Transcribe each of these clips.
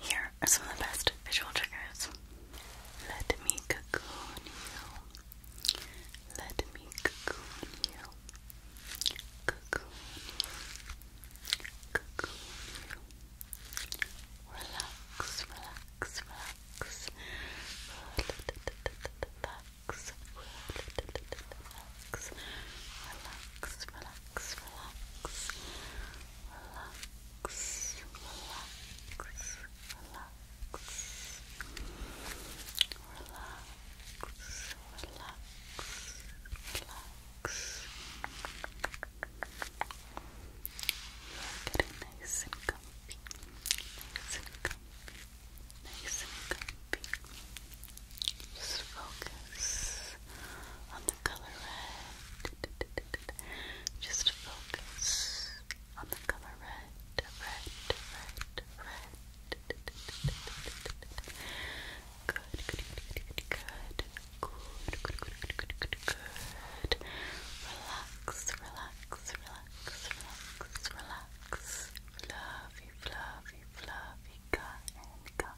Here are some of the best visual triggers. Let me cocoon you. Let me cocoon you. Cocoon you. Cocoon you. Relax, relax, relax. Relax, relax, relax. Relax, relax relax, relax, relax, relax, relax, relax, You're getting nice and comfy, nice and comfy, nice and comfy. Just focus on color red. Just focus on the color red, red, red, red. Good, good, good, good, good. Good, good, good, good, good, good, good. Relax, relax, relax, relax, relax. Fluffy, fluffy, fluffy, cotton, cotton.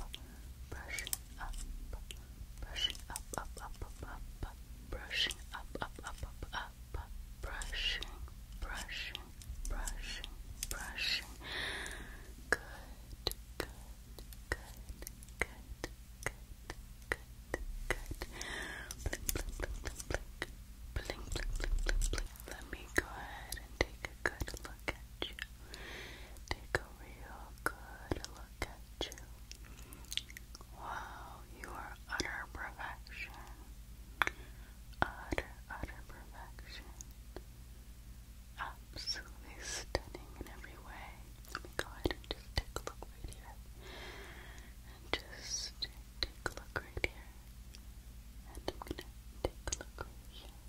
up, brushing up, brushing up, up, up, up, up, up, brushing up, up, up, up, up, up, brushing, brushing, brushing, brushing. Good, good, good, good, good, good, good. Blink, blink, blink, blink, blink. Blink, blink, blink, blink, blink. Let me go ahead and take a good look at you. Take a real good look at you. Wow, you are utter perfection. Utter, utter perfection. Absolutely stunning in every way. Let me go just take a look right here. And just take a look right here. And I'm gonna take a look right here.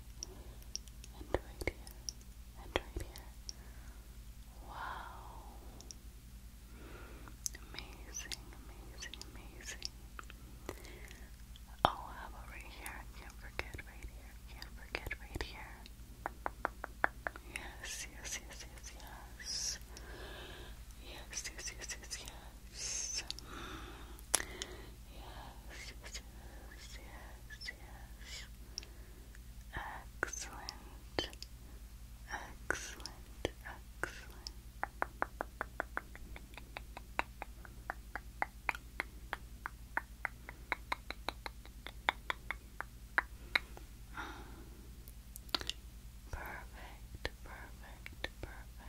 And right here and right here. Wow. Amazing, amazing, amazing. Oh, how right here? Can't forget right here. Can't forget right here. yes. Yes, yes, yes, yes, yes. Yes, yes, yes, yes, yes. Excellent. Excellent. Excellent. Perfect, perfect, perfect.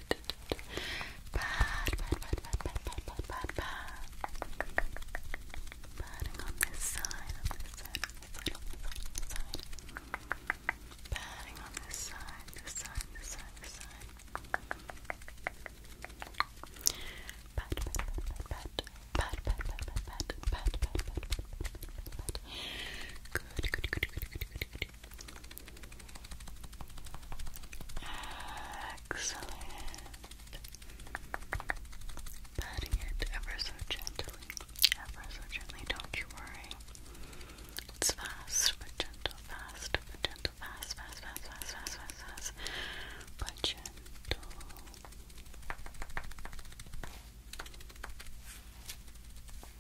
pat, pat, pat, pat, pat, pat, pat, pat, pat. Patting on this side, on this side, on this side, on this side, on this side. Patting on this side, this side, this side, this side. Pat, pat, pat, pat, pat, pat, pat, pat, pat, pat, pat, pat, pat, pat, pat, pat. Good, good, good, good, good, good, good. Excellent. Patting it ever so gently, ever so gently, don't you worry. It's fast but gentle, fast but gentle, fast, fast, fast, fast, fast, fast, but gentle.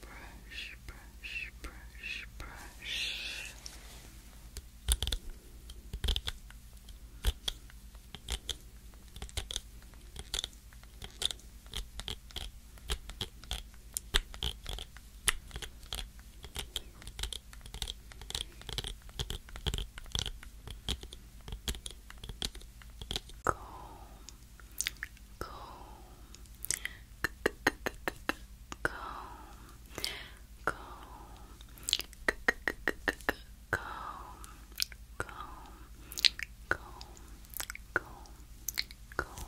brush, brush, brush, brush. Comb, comb, comb, comb, comb, comb, comb, comb, comb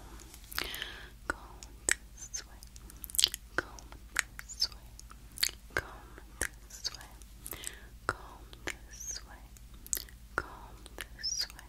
this way, comb this way, comb this way, comb this way, comb this way,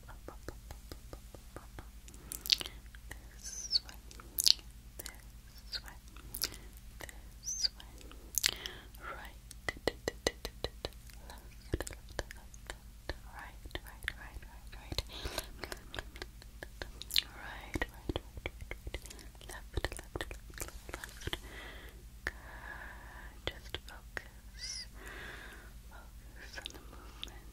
This way, this way, this way, right, right, right, right, right, right, left, left, left, left. Just focus, focus on the movement.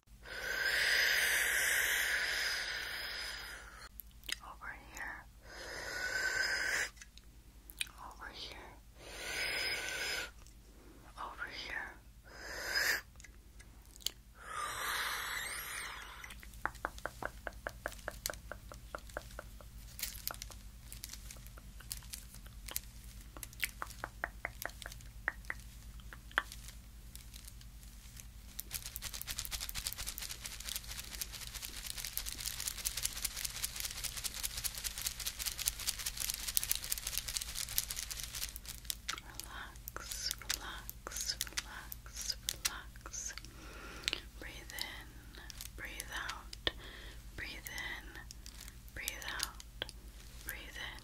Over here. Over here. Over here. Relax, relax, relax, relax. Breathe in, breathe out, breathe in, breathe out, breathe in,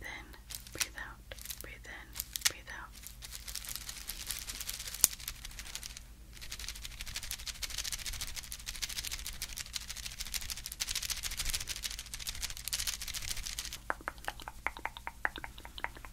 Then breathe out, breathe in, breathe out.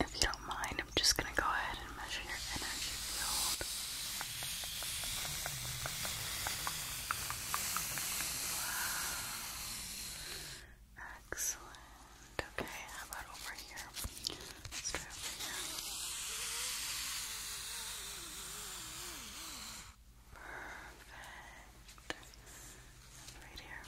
If you don't mind, I'm just going to go ahead and measure your energy field. Wow. Excellent. Okay, how about over here? Let's try over here. Perfect. And right here.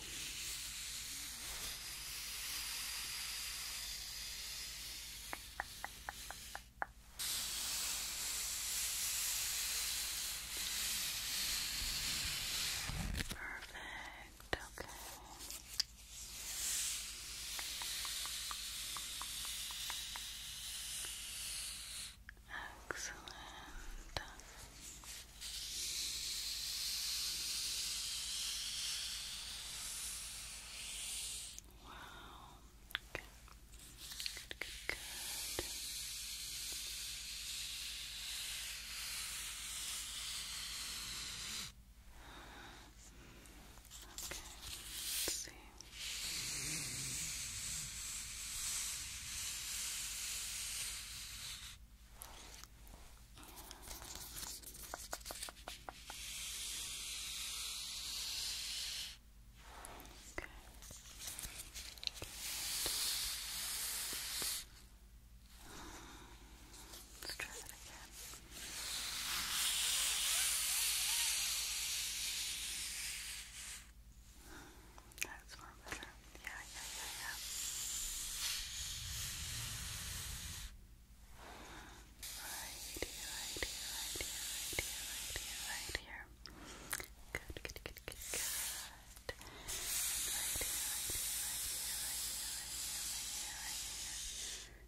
Perfect. Okay. Excellent. Wow. Okay. Good, good, good. Okay, let's see. Okay. Good. Let's try that again. That's more better. Yeah, yeah, yeah, yeah. Right here, right here, right here, right here, right here, right here. Good, good, good, good, good. And right here, right here, right here, right here, right here, right here, right here.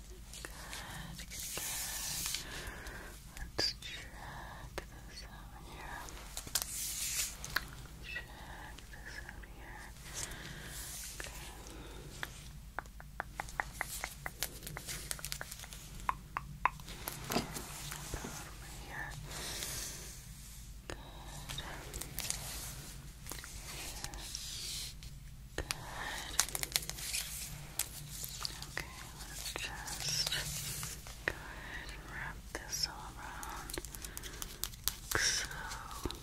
Good, good, good. Let's check this out here. Check this out here. Okay. Over here. Good. Here. Good. Good. Okay, let's just go ahead and wrap this all around like so. Okay,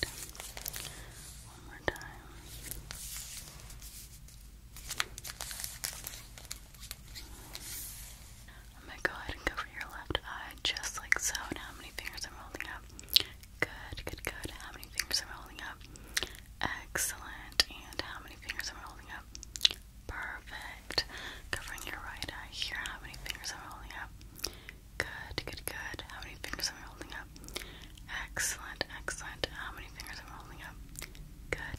good. One more time. I'm gonna go ahead and cover your left eye just like so. how many fingers I'm holding up? Good, good, good. How many fingers I'm holding up? Excellent. And how many fingers I'm holding up? Perfect. Covering your right eye here. How many fingers I'm holding up? Good, good, good. How many fingers am holding up? Excellent, excellent. How many fingers am holding up? Good.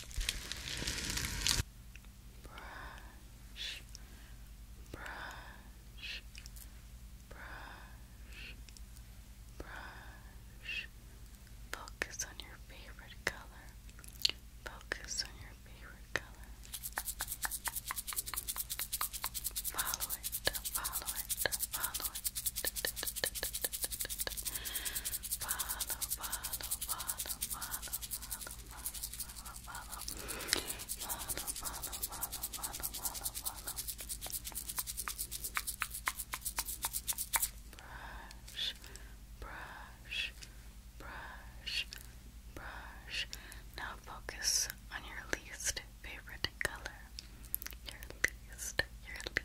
brush, brush, brush, brush. Focus on your favorite color. Focus on your favorite color. Follow it, follow it, follow it. Brush, brush, brush, brush. Now focus on your least favorite color. Your least, your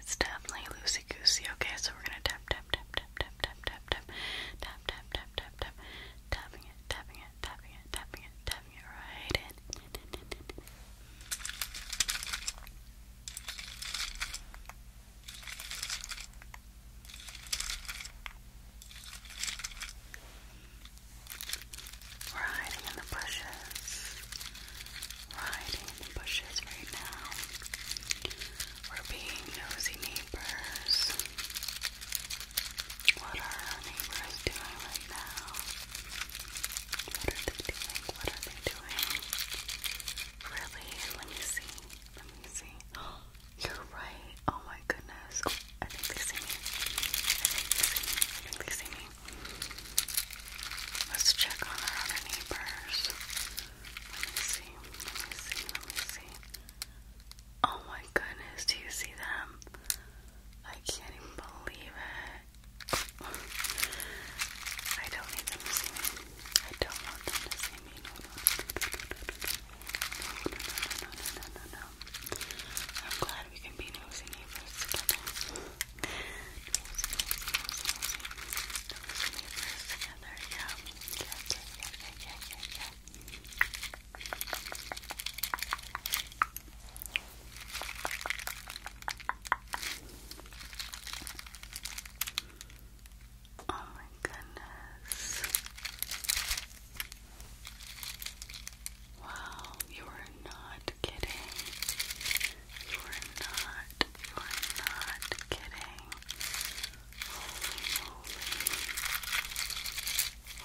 It's definitely loosey goosey. Okay, so we're gonna tap, tap, tap, tap, tap, tap, tap, tap, tap, tap, tap, tap, tap, tapping it, tapping it, tapping it, tapping it, tapping it right in. We're hiding in the bushes riding the bushes right now. We're being nosy neighbors. What are our neighbors doing right now? What are they doing? What are they doing? Really? Let me see. Let me see. you're right. Oh my goodness. Oh, I think they see me. I think they see me. they see me. Let's check on our other neighbors. Let me see. Let me see. Let me see. Oh my goodness, do you see them? I can't even believe it. I don't need them to see me. I don't want them to see me. No, no, no, no, no, no, no, no, no, no, no. I'm glad we can be nosy neighbors together together. Yeah. Yeah, yeah, yeah, yeah, yeah, yeah. Oh my goodness. Wow, you are not kidding. You are not, you are not kidding. Holy moly.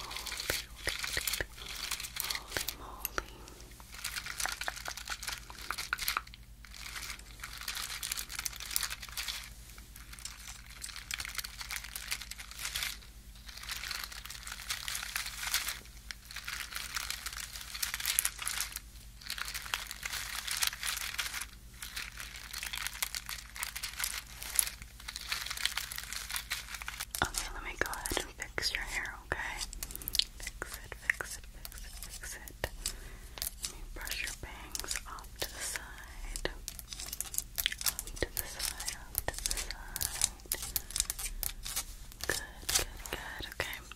Holy, holy, holy moly. Holy Okay, let me go ahead and fix your hair, okay? Fix it, fix it, fix it, fix it. Let me brush your bangs off to the side. Off to the side, off to the side. Good, good, good, okay.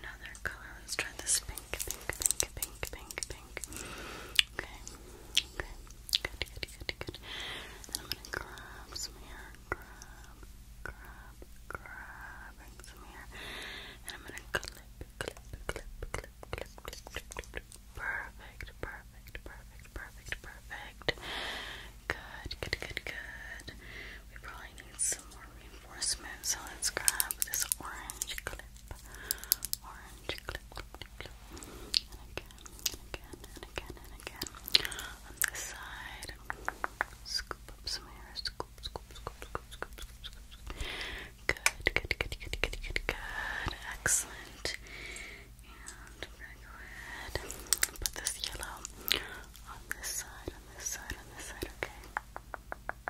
another color. Let's try this pink, pink, pink, pink, pink, pink. Okay, okay, good, good, good, good. I'm gonna grab some here, grab, grab, grab, some here. And I'm gonna clip, clip, clip, clip, clip, clip, clip, clip. Perfect, perfect, perfect, perfect, perfect. Good, good, good, good. We probably probably need some more reinforcement, so let's grab this orange clip. Orange clip, And again, again, and again, and again. On this side, scoop up some hair. Scoop, scoop, scoop, scoop, scoop, scoop, scoop. Good, good, good, good, good, good, good. Excellent. And go ahead put this yellow on this side, on this side, on this side, okay?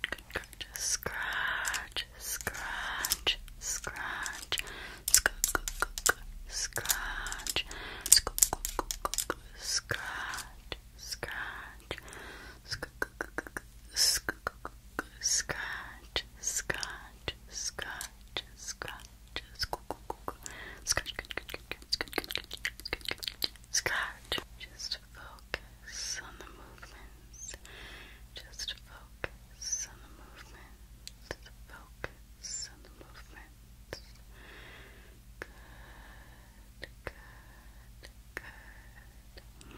good, good, good. Scratch, scratch, scratch. Scratch, scratch, scratch. Scratch, scratch, scratch, scratch, scratch, scratch, scratch. Just focus on the movement just focus on the movement. Focus on the movement. Good, good, good.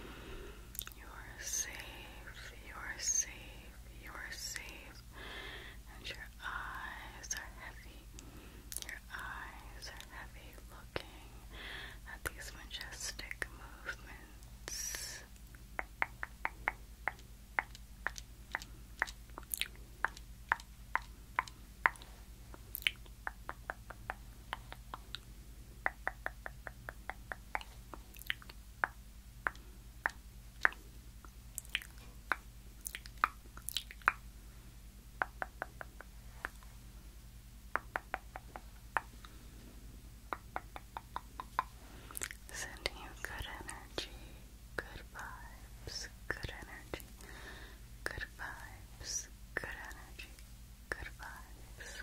You are safe. You are safe. You are safe. And your eyes are heavy. Your eyes are heavy. Looking at these majestic movements. Sending you good energy, good vibes, good energy, good vibes, good energy, good vibes.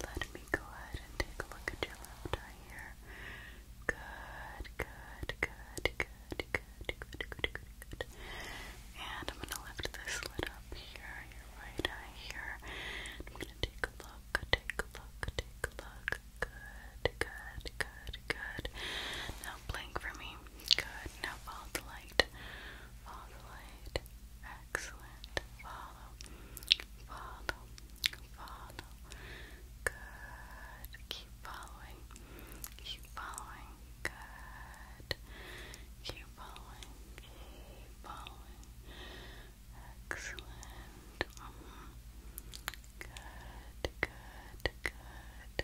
Let me go ahead and take a look at your left eye here. Good, good, good, good, good, good, good, good. And I'm gonna lift this lid up here, your right eye here. I'm gonna take a look, take a look, take a look, Good, good, good, good. Now blink for me. Good. Now follow the light. Follow the light. Excellent. Follow. Follow. Follow. Good. Keep following. Keep following. Good. Keep following. Keep following. Excellent. Good, good, good.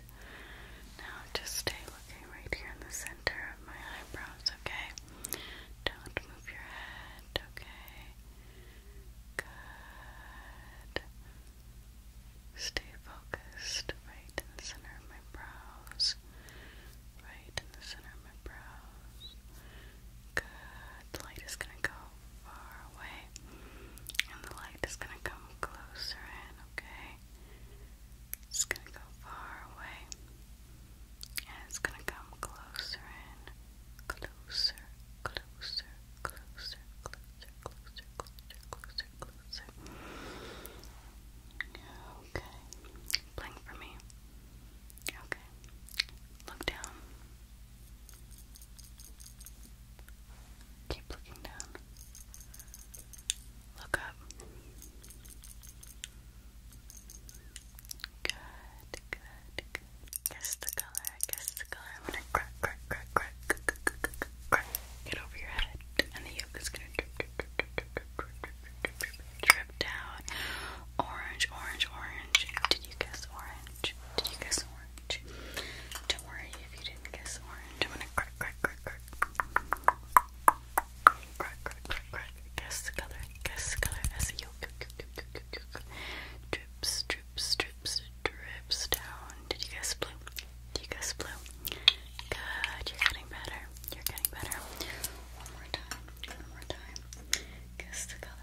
Now just stay looking right here in the center of my eyebrows, okay? Don't move your head, okay? Good. Stay focused right in the center of my brows. Right in the center of my brows. Good. The light is going to go far away. And the light is going to come closer in, okay? It's going to go far away. And it's going to come closer in. closer, closer, closer, closer, closer, closer, closer. Okay. Blink for me. Okay. Look down. Keep looking down. Look up. Good, good, Guess the color, guess the color. I'm gonna crack, crack, crack, crack, crack, crack, Get over your head. And the yolk is gonna drip, drip, drip, drip, drip, drip, drip, drip down Orange, orange, orange. Did you guess orange? Did you guess orange? Don't worry if you didn't guess orange. I'm gonna crack, crack, crack, crack. Crack, crack, crack, crack. Guess the color, guess the color as a yolk. Drips, drips, drips, drips down. Did you guess blue? Did you guess blue? Good, you're getting better. You're getting better. One more time, one more time. Guess the color,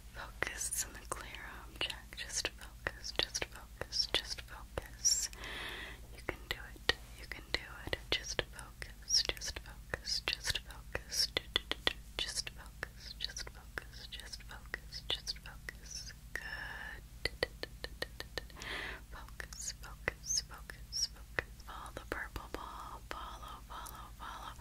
Focus on the clear object. Just focus, just focus, just focus. You can do it, you can do it. Just focus, just focus, just focus. Do, do, do, do. Just focus, just focus, just focus, just focus. Good. Do, do, do, do, do, do. Focus, focus, focus, focus. Follow the purple ball. Follow, follow, follow.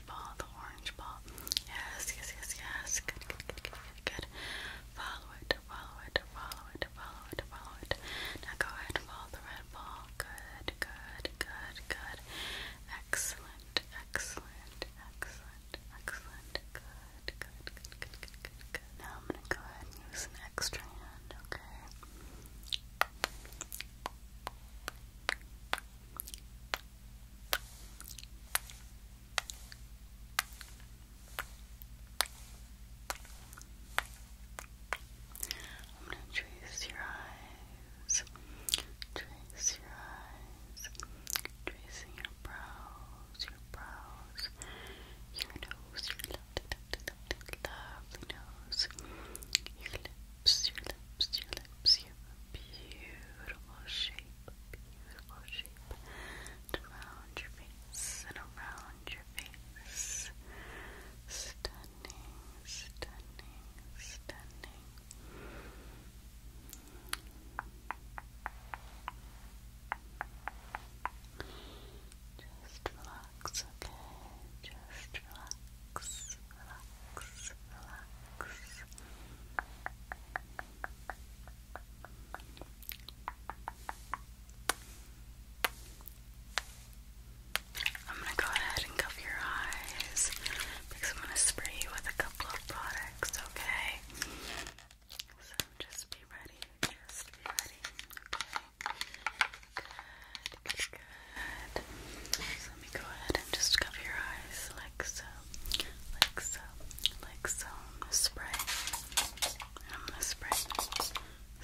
orange ball, the orange ball. Yes, yes, yes, yes. Good, good, good, good, good, good. Follow it, follow it, follow it, follow it, follow it. Now go ahead and follow the red ball. Good, good, good, good. Excellent, excellent, excellent, excellent. Good, good, good, good, good, good, good. Now I'm gonna go ahead and use an extra hand, okay? Good, I'm going to trace your eyes, trace your eyes, tracing your brows, your brows, your nose, your lovely, lovely, nose, your lips, your lips, your lips, you beautiful shape beautiful shape around your face and around your face. Stunning, stunning, stunning. Just relax, okay? Just relax, relax, relax. I'm gonna go ahead and cover your eyes because I'm gonna spray you with a couple of products, okay? So just be ready, just be ready, okay? Good, good, let me go ahead and just cover your eyes like so like so, like so. I'm gonna spray. spray,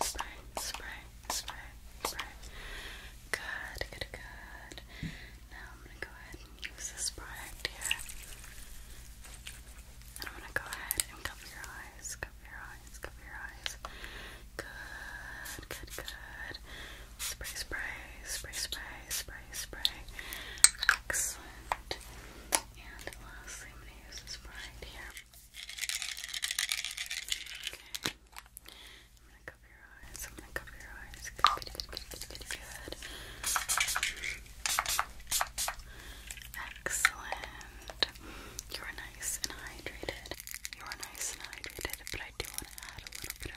spray, spray, spray, spray. Good, good, good. Now I'm gonna go ahead and use this product here. And I'm gonna go ahead and cover your eyes, cover your eyes, cover your eyes. Good, good, good. Spray, spray, spray, spray, spray, spray. Excellent. And lastly, i use this right here. Okay. I'm going to cover your eyes. I'm going to cover your eyes. Good, good, good, good, good, good. Excellent. You are nice and hydrated. You are nice and hydrated, but I do want to add a little bit of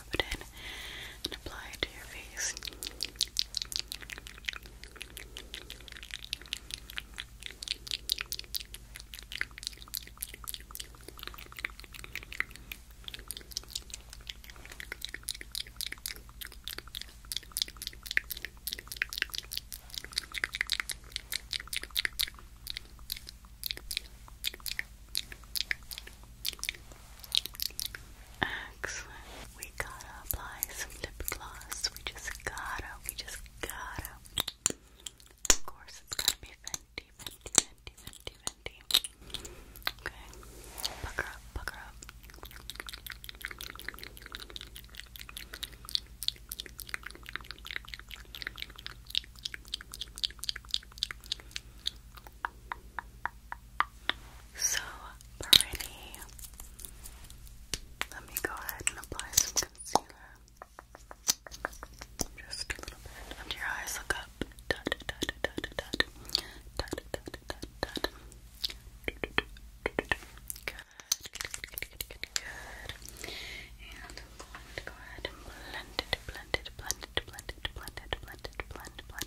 rub and apply it to your face. Excellent. We gotta apply some lip gloss. We just gotta, we just gotta. Of course, it's gotta be Fenty, Fenty, Fenty, Fenty, Fenty. Okay, pucker up, pucker up. So pretty. Let me go ahead and apply some concealer. Just a little bit under your eyes. Look up. Good, good, good, good, good, good. And go ahead and blend it, blend it, blend it, blend it, blend it, blend it, blend, blend,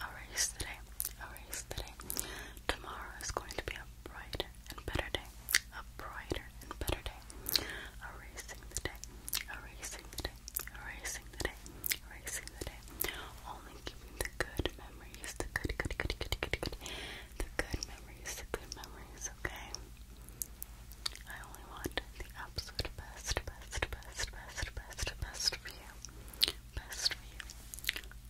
A race today, a race today. Tomorrow is going to be a brighter and better day, a brighter and better day. A racing the day, a racing the day, a racing the day, a racing the day. Only keeping the good memories, the good, good, good, good, good, good, the good memories, the good memories. Okay. I only want the absolute best, best, best, best, best, best for you. Best for you.